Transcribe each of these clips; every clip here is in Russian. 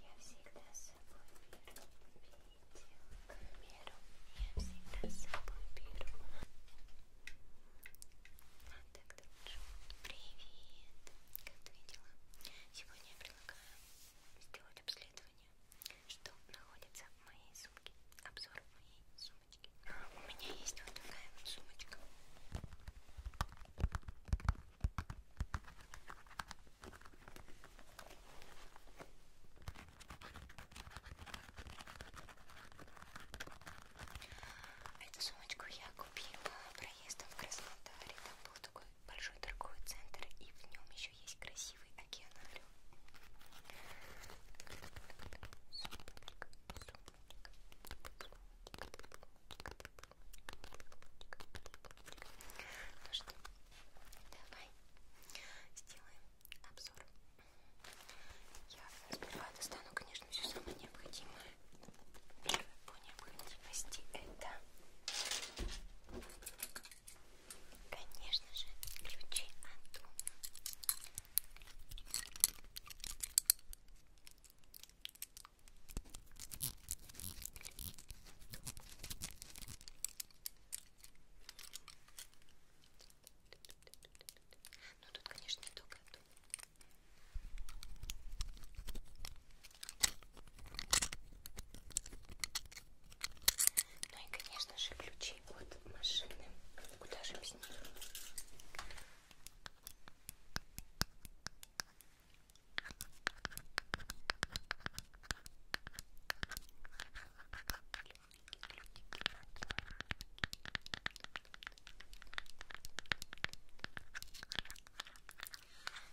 Я всегда с собой беру камеру. Я всегда с собой беру. А так дружу. Привет! Как ты видела? Сегодня я предлагаю сделать обследование, что находится в моей сумке. Обзор моей сумочки. У меня есть вот такая вот сумочка. Эту сумочку я купила проездом в Краснодаре. Там был такой большой торговый центр, и в нем еще есть красивый океанариум. Сумочка, сумочка, сумочка, сумочка, ну что, давай сделаем обзор. Я сперва достану, конечно, все самое необходимое. Первое по необходимости это, конечно же, ключи от дома. Ну тут, конечно, не только это. Ну и, конечно же, ключи от машины. Куда же без них?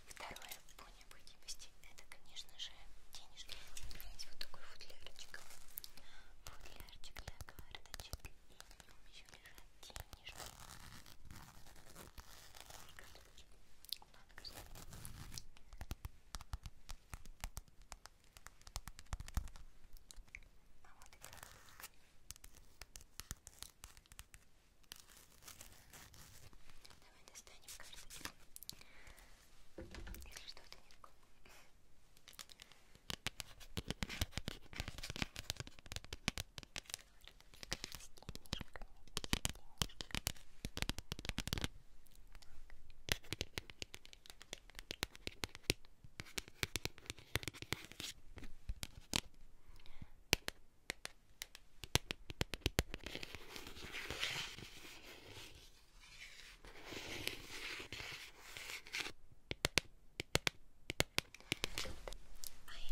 Второе по необходимости это, конечно же, денежки. У меня есть вот такой футлярчик. Футлярчик для карточек. И в нем еще лежат денежки. А вот и краска. Давай достанем карточку. Если что-то не такое. А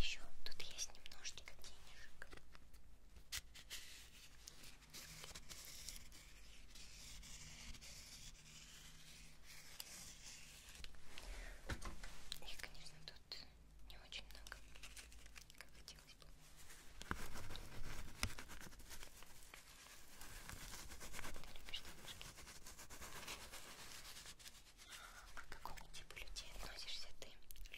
еще тут есть немножечко денежек. Их, конечно, тут не очень много, как хотелось бы. Ты любишь девушки? А к какому типу людей относишься ты?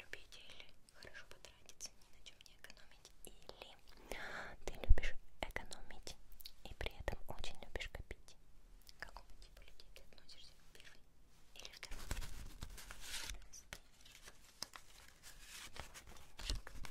Любитель хорошо потратиться, ни на чем не экономить? Или ты любишь экономить и при этом очень любишь копить? К какому типу людей ты относишься? Первый или второй? Четыре денежка, пять денежка,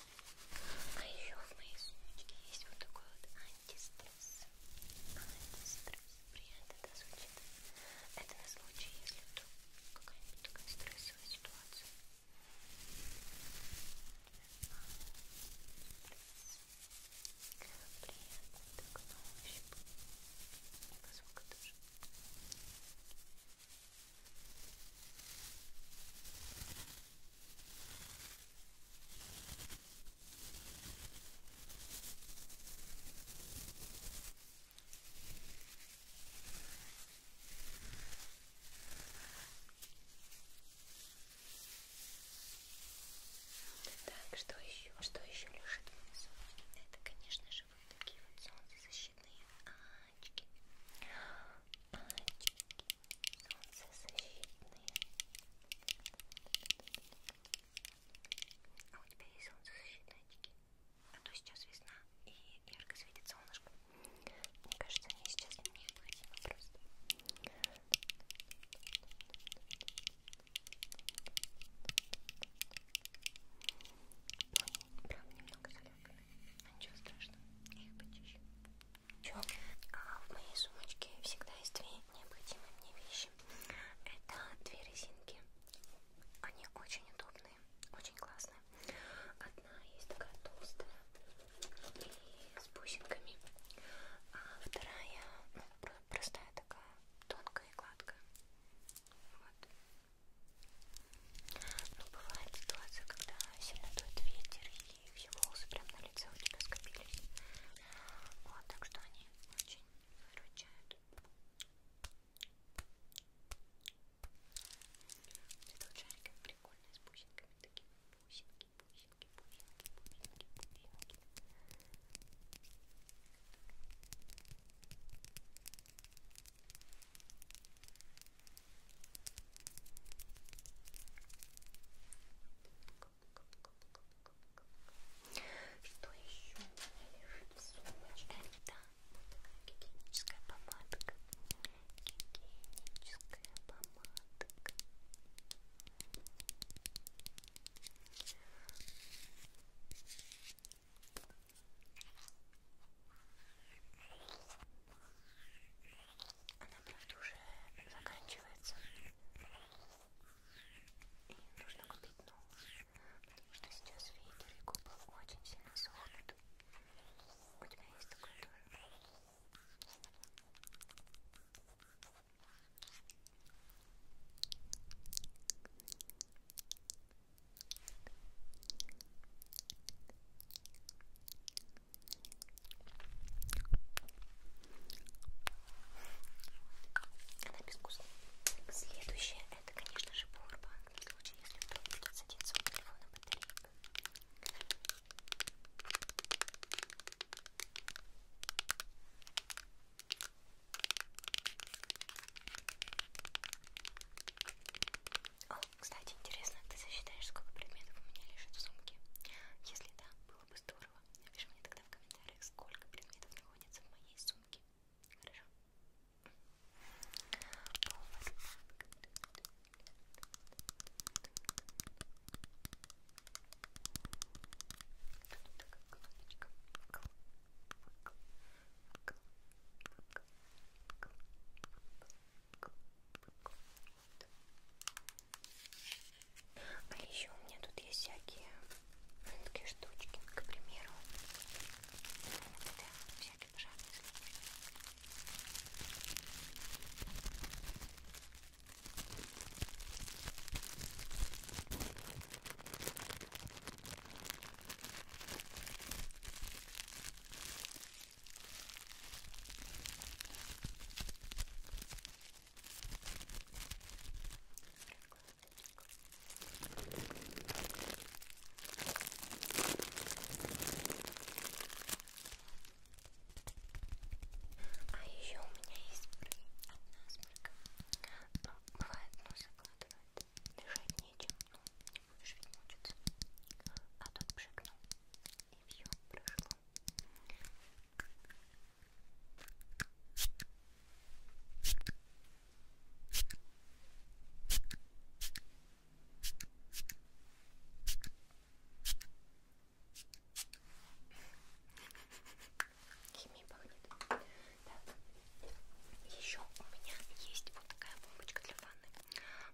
А еще в моей сумочке есть вот такой вот антистресс. Антистресс. Приятно, да, звучит? Это на случай, если вдруг какая-нибудь такая стрессовая ситуация. Антистресс. Приятно, так на ощупь. И по звуку тоже. Антистресс. Так, что еще? Что еще лежит в моей сумочке? Это, конечно же, вот такие вот солнцезащитные а, очки. Очки солнцезащитные. А у тебя есть солнцезащитные очки? А то сейчас весна и ярко светит солнышко. Мне кажется, они сейчас необходимы просто. Ну, они прям немного заляпаны. Но ничего страшного, я их почищу. А в моей сумочке всегда есть две необходимые мне вещи. Это две резинки. Они очень удобные, очень классные. Одна есть такая толстая и с бусинками, а вторая ну, простая такая, тонкая и гладкая. Вот. Ну, бывает ситуация, когда сильно дует ветер и все волосы прям на лице у тебя скопились. Вот, так что они очень выручают. Цветок шариков прикольный, с бусинками такими. Бусинки, бусинки, бусинки, бусинки, бусинки. Что еще у меня лежит в сумочке? Да, вот такая гигиеническая помадка. Гигиеническая помадка. Она правда, уже заканчивается. И нужно купить новую. Потому что сейчас ветер и губы очень сильно сохнут. У тебя есть такое тоже? Она безвкусная. Следующее это, конечно же, Powerbank. В случае, если вдруг будет садиться у телефона батарейка. Он кстати, интересно, ты засчитаешь, сколько предметов у меня лежит в сумке? Если да, было бы здорово. Напиши мне тогда в комментариях, сколько предметов находится в моей сумке. Хорошо? Повод. Тут такая кнопочка. Вкл, вкл, вкл, вкл, вкл, вкл, вкл, вкл, вот. А еще у меня тут есть всякие такие штучки, к примеру, это всякие пожарные службы. А еще у меня есть от насморка. Но ну, бывает, но закладывает. Дышать нечем, но не будешь ведь мучиться. А тут пшикнул. И все прошло. Химия пахнет. Так. Еще у меня есть вот такая бомбочка для ванны.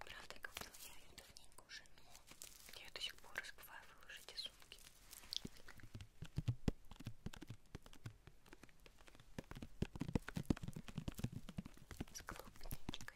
Правда, как я ее давненько уже, но я ее до сих пор разбываю выложить из сумки. С клубничкой. С клубничкой.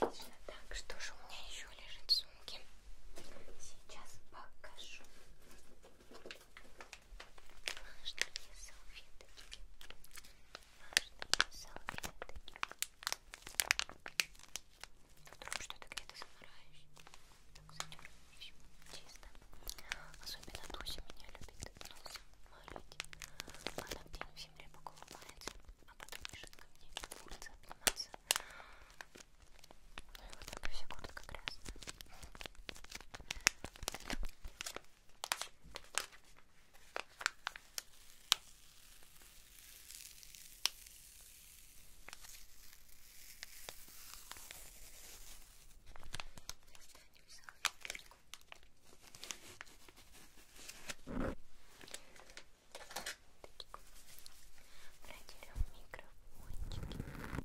Отлично. Так, что же у меня еще лежит в сумке? Сейчас покажу. Важные салфеточки. Важные салфеточки. Вдруг что-то где-то замираешь. Так задергаешь. Чисто. Особенно Тося меня любит носом малить. Она день в земле поколупается, а потом бежит ко мне улица обниматься. Ну и вот такая вся куртка грязная. Проделем микрофончики. Ой,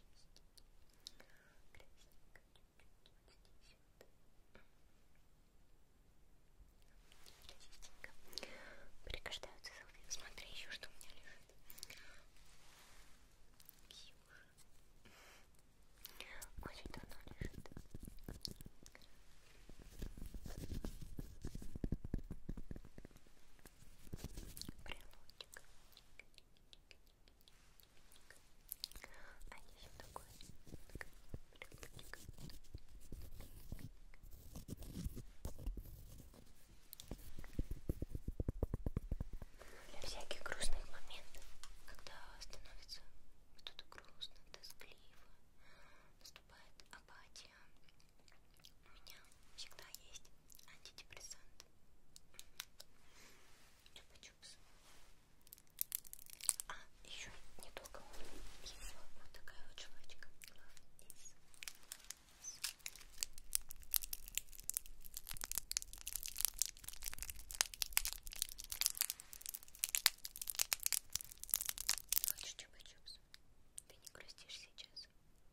Красненько чуть-чуть вот здесь вот. Красивенько. Прикождаются салфетки. Смотри еще, что у меня лежит. Ксюша. Очень давно лежит. Красивенько брелочек. А еще такой брелочек. Для всяких грустных моментов, когда становится что-то грустно, тоскливо, наступает апатия, у меня всегда есть антидепрессант. Чупа-чупс. А, еще недолго есть вот такая вот жвачка. Love is. Хочешь чупа-чупс? Ты не грустишь сейчас?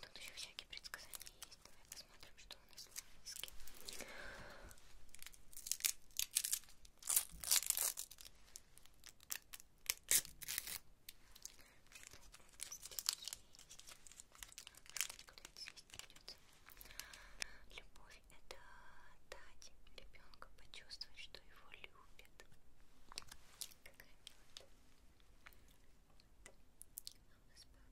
Тут еще всякие предсказания есть. Давай посмотрим, что у нас в списке. Любовь, любовь – это дать ребенку почувствовать, что его любят. Какая милота. Вот. А у нас папа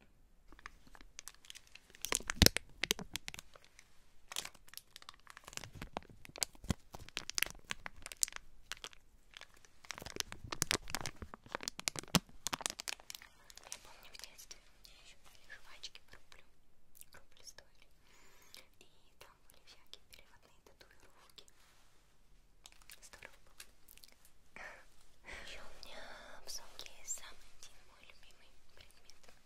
и маленький ребеночек. Я помню в детстве меня еще были жвачки по рублю, рубль стоили, и там были всякие переводные татуировки. Здорово было. Еще у меня в сумке есть самый один мой любимый предмет.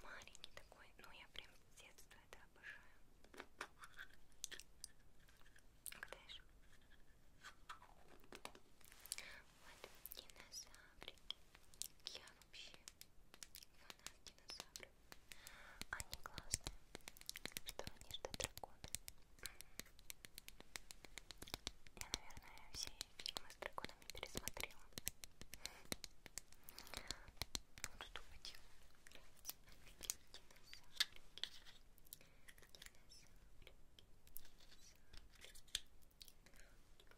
Маленький такой, ну я прям с детства это обожаю. Угадаешь? Вот динозаврики. Я вообще фанат динозавров. Они классные, что они ждут драконы. Я, наверное, все фильмы с драконами пересмотрела. Ну, что хотела? Динозаврики, динозаврики, динозаврики.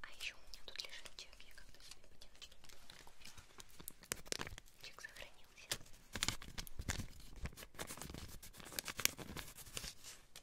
А еще у меня тут лежит чек, я как-то себе ботиночки купила. Чек сохранился.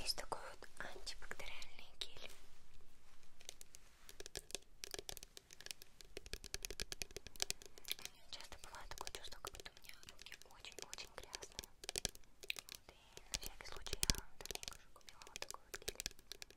Есть такой вот антибактериальный гель. Часто бывает такое чувство, как будто у меня руки очень-очень грязные. Вот, и на всякий случай я давненько уже купила вот такой вот гель.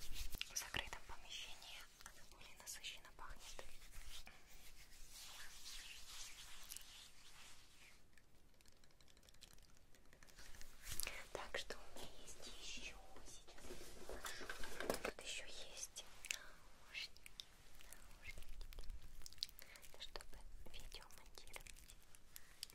В закрытом помещении она более насыщенно пахнет. Так что у меня есть еще сейчас. Тут еще есть наушники. Наушники. Это чтобы видео монтировать. Так.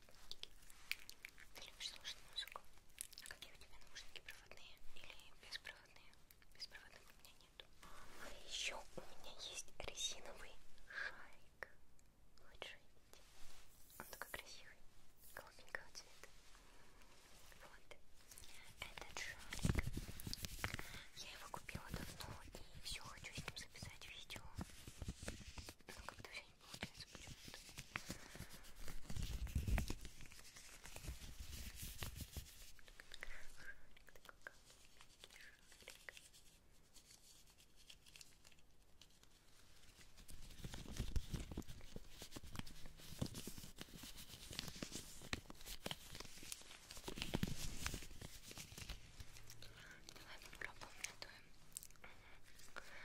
Ты любишь слушать музыку? А какие у тебя наушники, проводные или беспроводные? Беспроводных у меня нету. А еще у меня есть резиновый шарик. Вот шарик. Он такой красивый, голубенького цвета. Вот. Этот шарик. Я его купила давно и все хочу с ним записать видео. Но ну, как-то все не получается почему-то. Давай попробуем на той.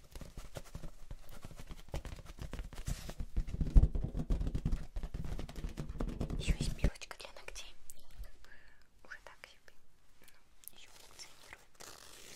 Еще есть пилочка для ногтей. Уже так себе. Ну, еще функционирует. Ой,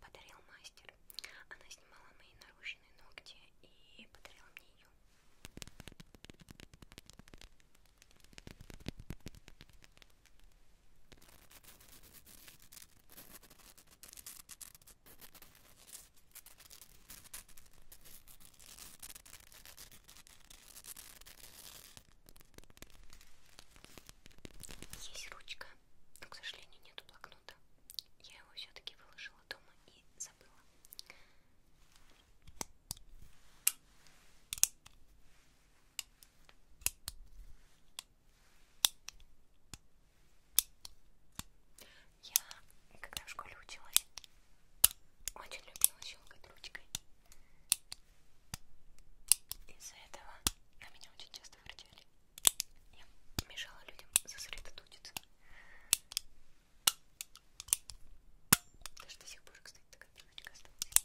подарил мастер. Она снимала мои нарушенные ногти и подарила мне ее. Есть ручка, но, к сожалению, нету блокнота. Я я его все-таки выложила дома и забыла. Я, когда в школе училась, очень любила щелкать ручкой. Из-за этого на меня очень часто вручали. Я мешала людям сосредоточиться. Даже до сих пор, кстати, такая пеночка осталась.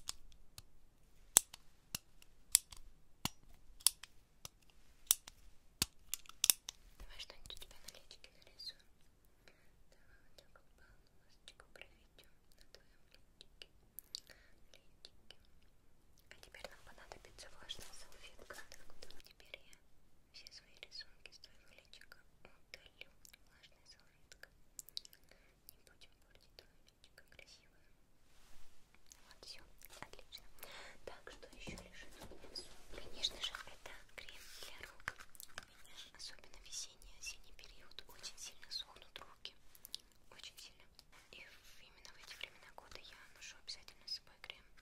Давай что-нибудь у тебя на личке нарисуем. Давай вот так вот полосочку проведем на твоем личике. Личике. А теперь нам понадобится влажная салфетка. Теперь я все свои рисунки с твоего личика удалю. Влажная салфетка. Не будем портить твое личико красивое. Вот все, отлично. Так, что еще лежит у меня? Конечно же, это крем для рук. У меня особенно весенний осенний период очень сильно сохнут руки. Очень сильно. И именно в эти времена года я ношу обязательно с собой крем.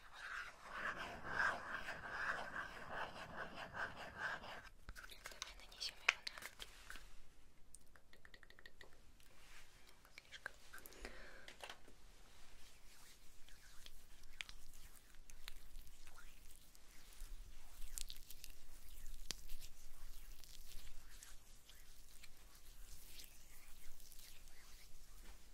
Давай нанесем его на руки. Много слишком. Давай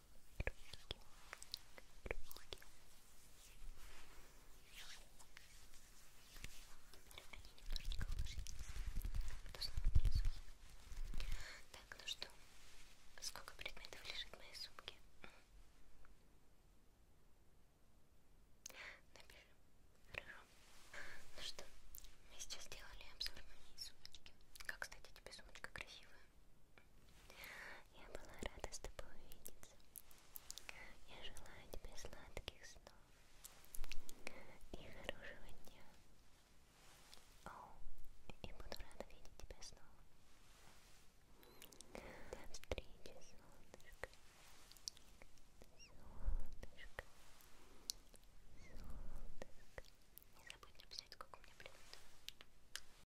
Так, ну что, сколько предметов лежит в моей сумке? Напишем. Хорошо. Ну что, мы сейчас сделали обзор моей сумочки. Как, кстати, тебе сумочка красивая. Я была рада с тобой увидеться. Я желаю тебе сладких снов и хорошего дня. О, и буду рада видеть тебя снова. До встречи, солнышко. Солнышко. Солнышко. Не забудь написать, сколько у меня блюд.